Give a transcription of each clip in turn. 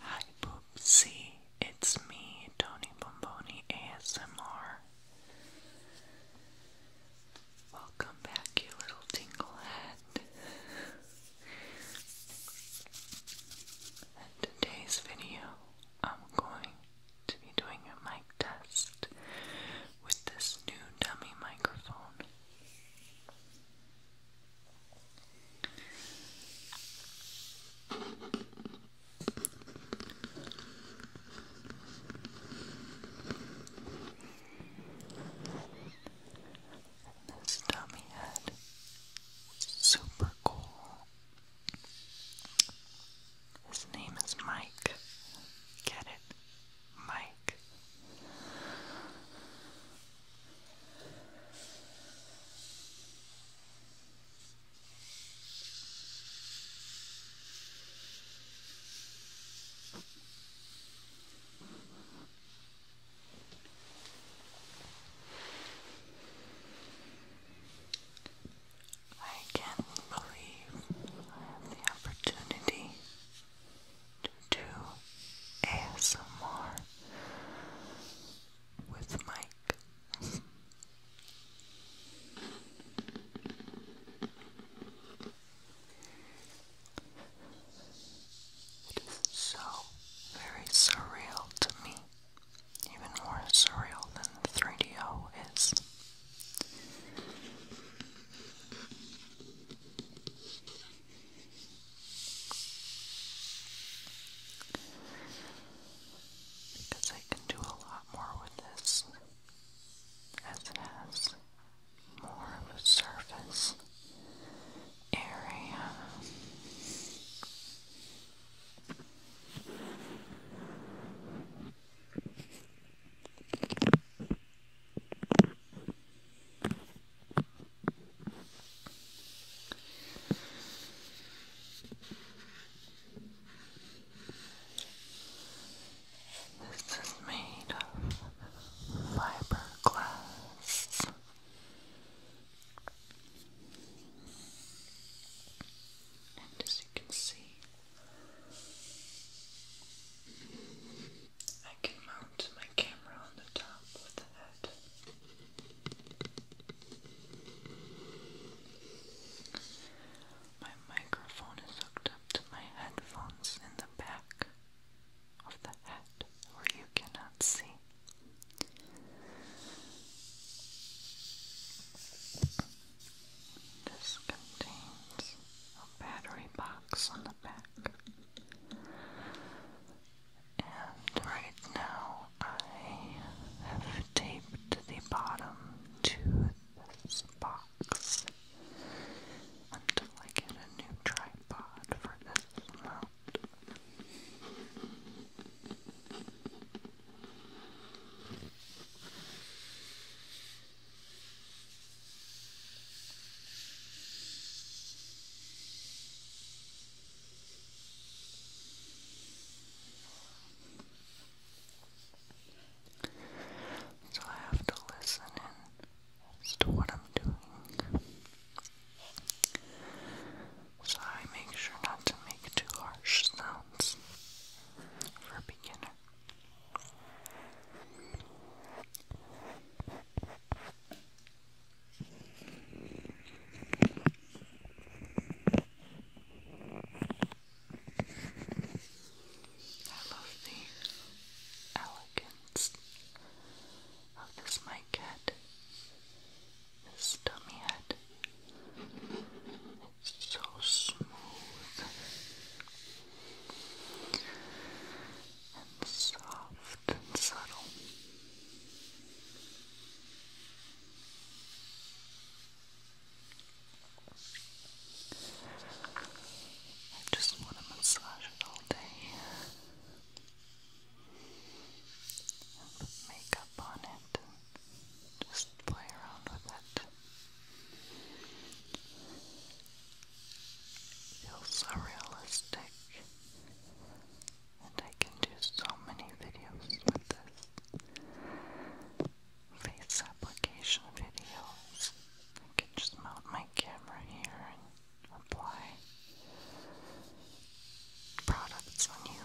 Hi Poopsie, it's me, Tony Bomboni ASMR. Welcome back, you little tinglehead. In today's video, I'm going to be doing a mic test with this new dummy microphone. And this dummy head super cool. His name is Mike. Get it? Mike. I can't believe I have the opportunity to do ASMR with Mike. It is so very surreal to me, even more surreal than 3DO is. Because I can do a lot more with this, as it has more of a surface area. This is made of fiberglass. And as you can see, I can mount my camera on the top with the head. My microphone is hooked up to my headphones in the back of the head where you cannot see. This contains a battery box on the back. And right now I have taped the bottom to this box until I get a new tripod for this mount. So I have to listen in as to what I'm doing. So I make sure not to make too harsh sounds for beginner. I love the elegance of this mic head, this dummy head. It's so smooth and soft and subtle. I just want to massage it all day put makeup on it just play around with it. feels so and I can do so many videos with this. Face application videos. I can just mount my camera here and apply products on you.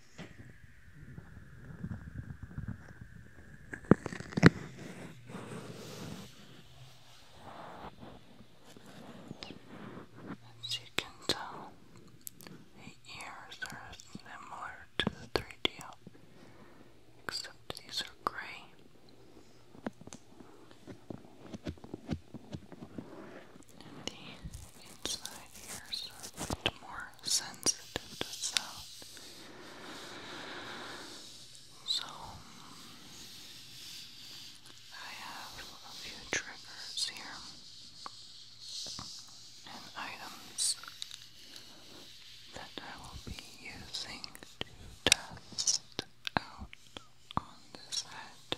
As you can tell, the ears are similar to the 3DO, except these are gray. And the inside ears are a bit more sensitive to sound. So, I have a few triggers here and items that I will be using to test out on this head.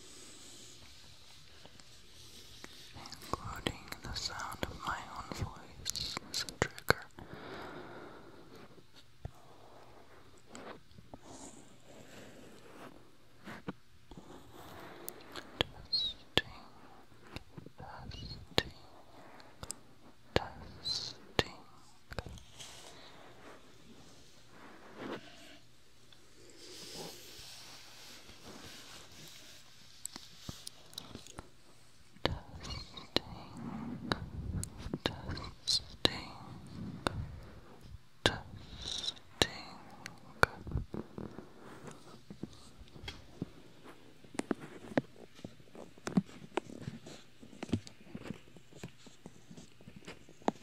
Including the sound of my own voice as a trigger. Testing, testing, testing testing, testing. Testing,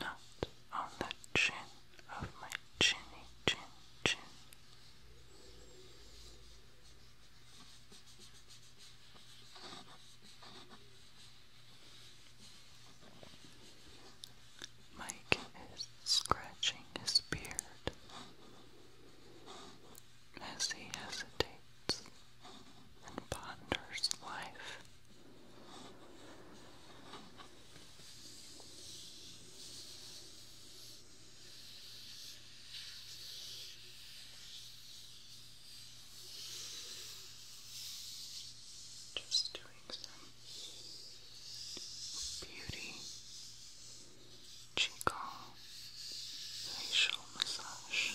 Not on the chin of my chinny chin chin. Mike is scratching his beard as he hesitates and ponders life. Just doing some beauty Qigong facial massage.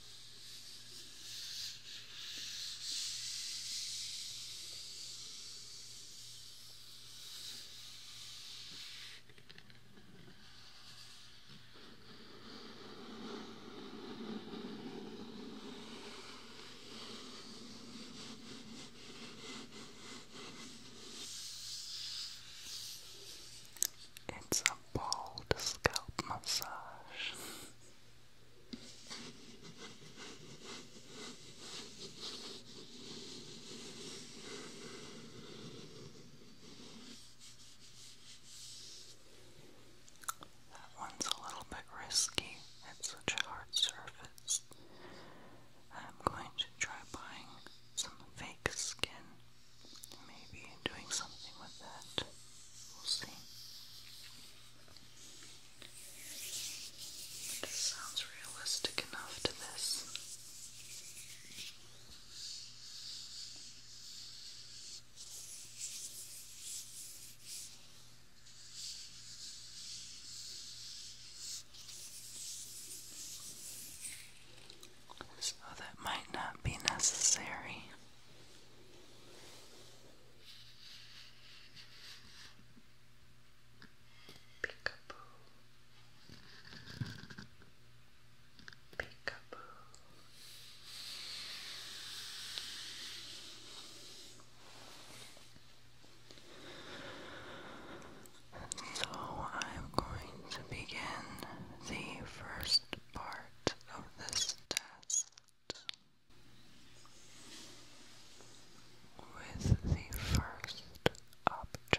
It's a bald scalp massage. That one's a little bit risky. It's such a hard surface. I'm going to try buying some fake skin Maybe doing something with that. We'll see. It sounds realistic enough to this. So oh, that might not be necessary. Peekaboo. Peekaboo. So I'm going to begin the first part of this test with the first object.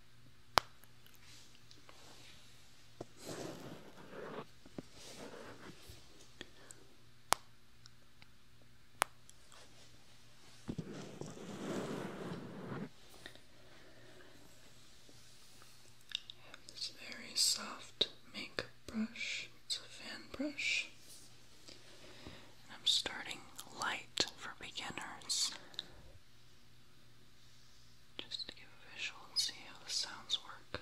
I have this very soft makeup brush, it's a fan brush. And I'm starting light for beginners. Just to give a visual and see how the sounds work.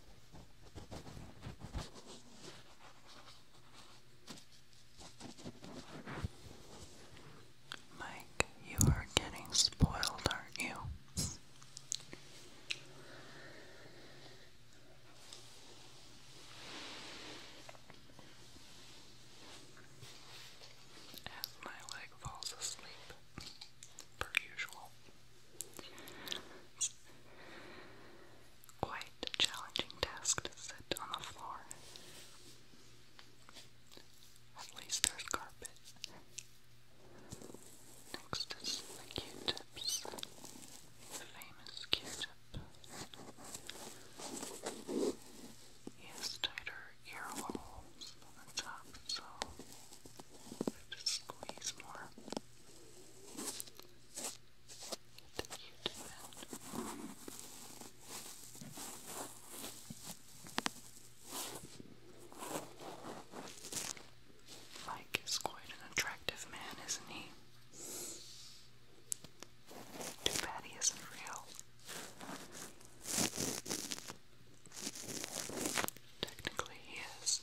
Mike, you are getting spoiled, aren't you? As my leg falls asleep, per usual quite a challenging task to sit on the floor. At least there's carpet. Next is the Q-tips. The famous Q-tip. He tighter ear holes on the top, so have to squeeze more. Mike is quite an attractive man, isn't he? Too bad he isn't real. Technically, he is.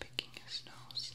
picking his nose.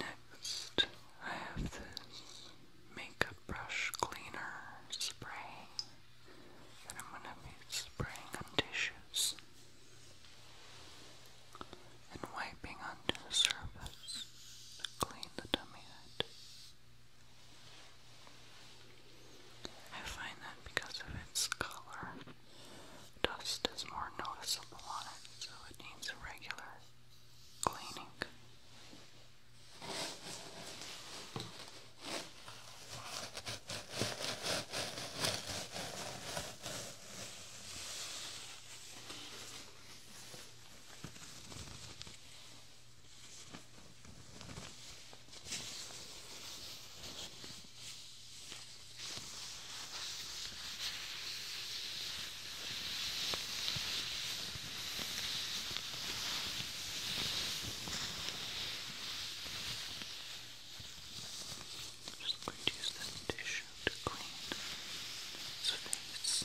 Next, I have this makeup brush cleaner spray that I'm going to be spraying on tissues and wiping onto the surface to clean the dummy head. I find that because of its color, dust is more noticeable on it, so it needs regular cleaning. I'm just going to use this tissue to clean its face.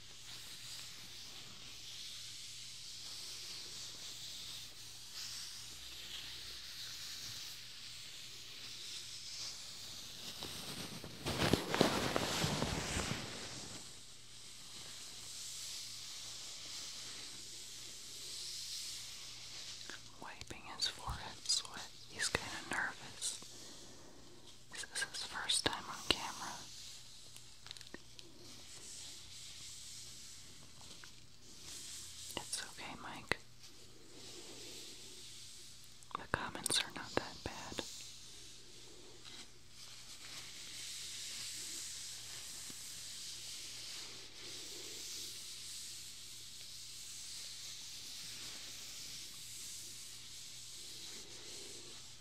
Wiping his forehead sweat, he's kind of nervous. This is his first time on camera. It's okay, Mike. The comments are not that bad.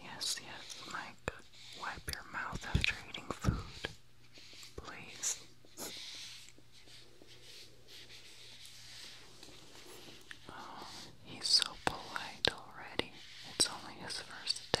Yes, yes, Mike. Wipe your mouth after eating food, please. Oh, he's so polite already. It's only his first day.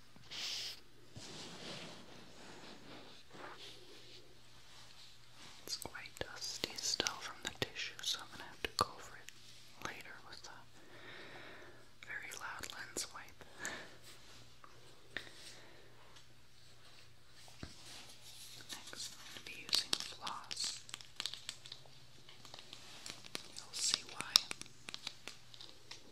It's quite dusty still from the tissue, so I'm gonna have to go for it later with a very loud lens wipe. Next, I'm going to be using floss. You'll see why.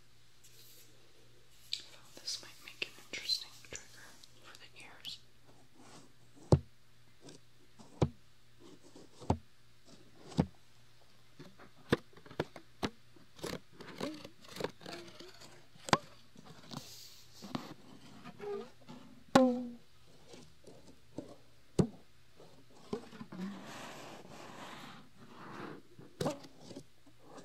Oh, this might make an interesting trigger for the ears.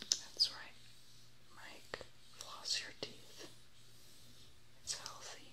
That's right, Mike. Floss your teeth. It's healthy.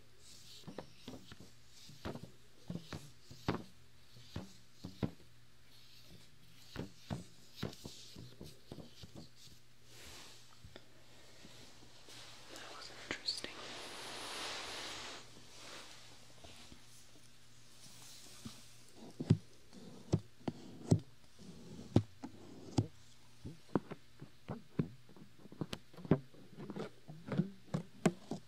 That was interesting.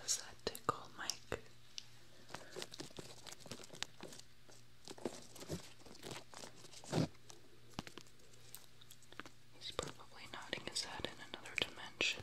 Does that tickle, Mike? He's probably nodding his head in another dimension.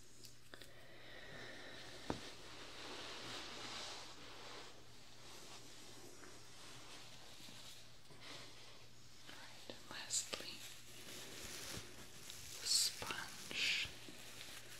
Right, and lastly, the sponge. Right.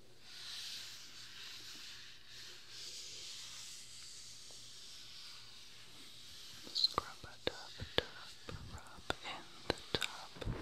Scrub a top, top, rub in the top. Just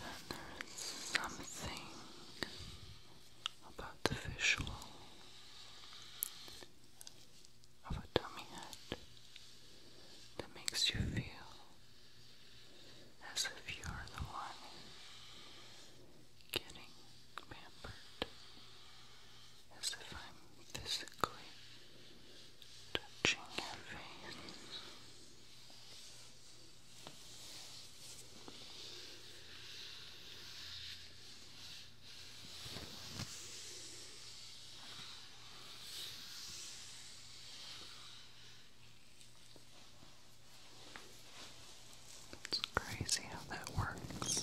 And there is something about the visual of a dummy head that makes you feel as if you're the one getting pampered, as if I'm physically touching your face. It's crazy how that works.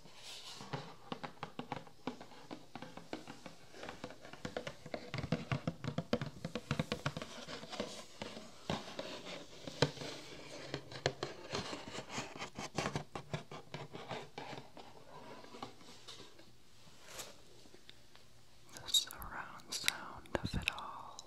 The surround sound of it all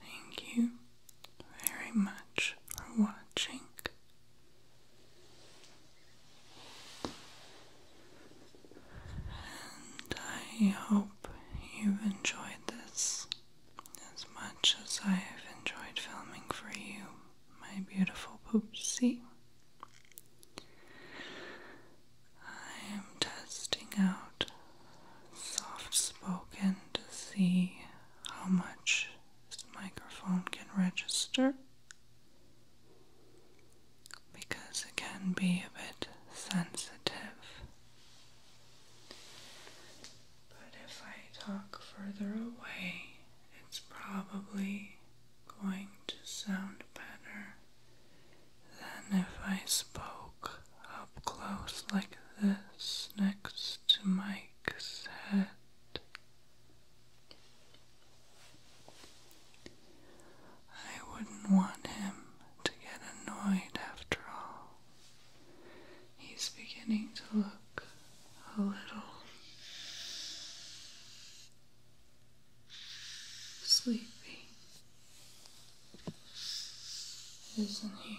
Thank you very much for watching. And I hope you enjoyed this as much as I have enjoyed filming for you, my beautiful poopsie. I am testing out soft spoken to see how much this microphone can register because it can be a bit sensitive. But if I talk further away, it's probably going to sound better. Then if I spoke up close like this next to Mike's head. I wouldn't want him to get annoyed after all. He's beginning to look a little sleepy, isn't he?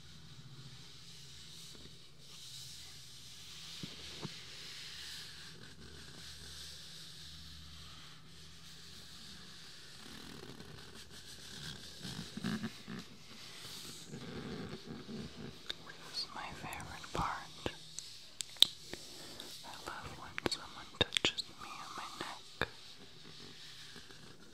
This is my favorite part. I love when someone touches me on my neck.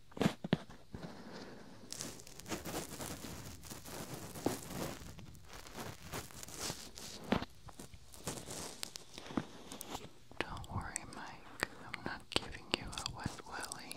Don't worry, Mike, I'm not giving you a wet willy.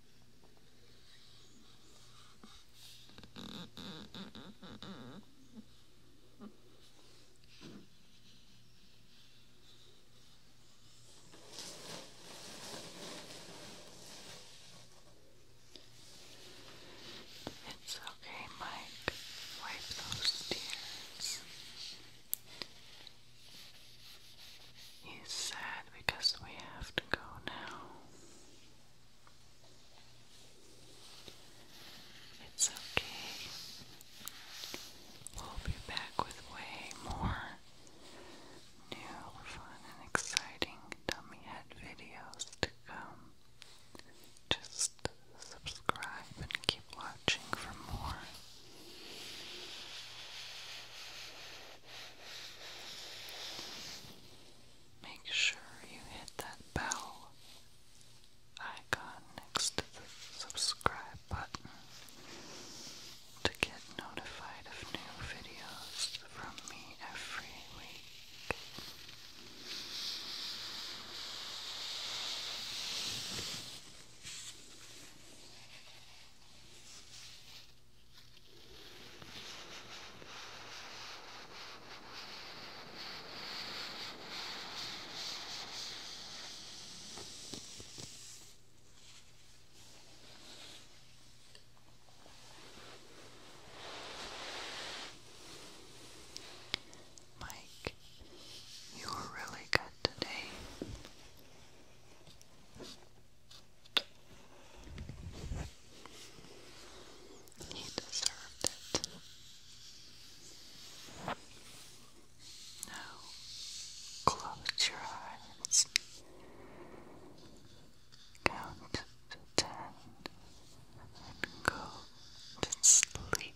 It's okay, Mike. Wipe those tears. He's sad because we have to go now. It's okay. We'll be back with way more new, fun, and exciting dummy videos to come. Just subscribe and keep watching for more make sure you hit that bell icon next to the subscribe button to get notified of new videos from me every week. Mike, you were really good today. He deserved it. Now close your eyes. Count to ten and go to sleep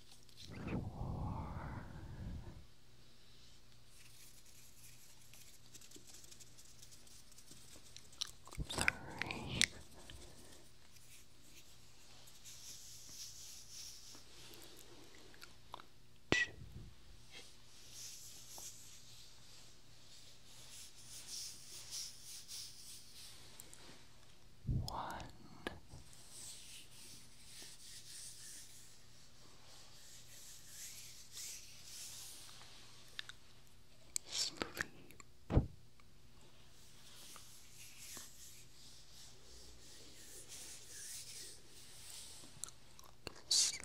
four, three, two one. Sleep. Sleep.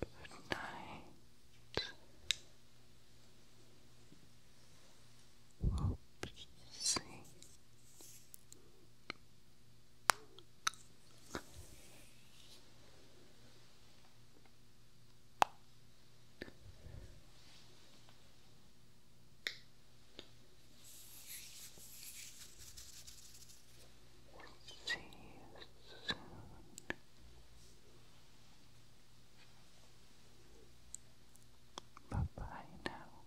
Good night. Oopsie. Good night. See you soon. Bye bye now.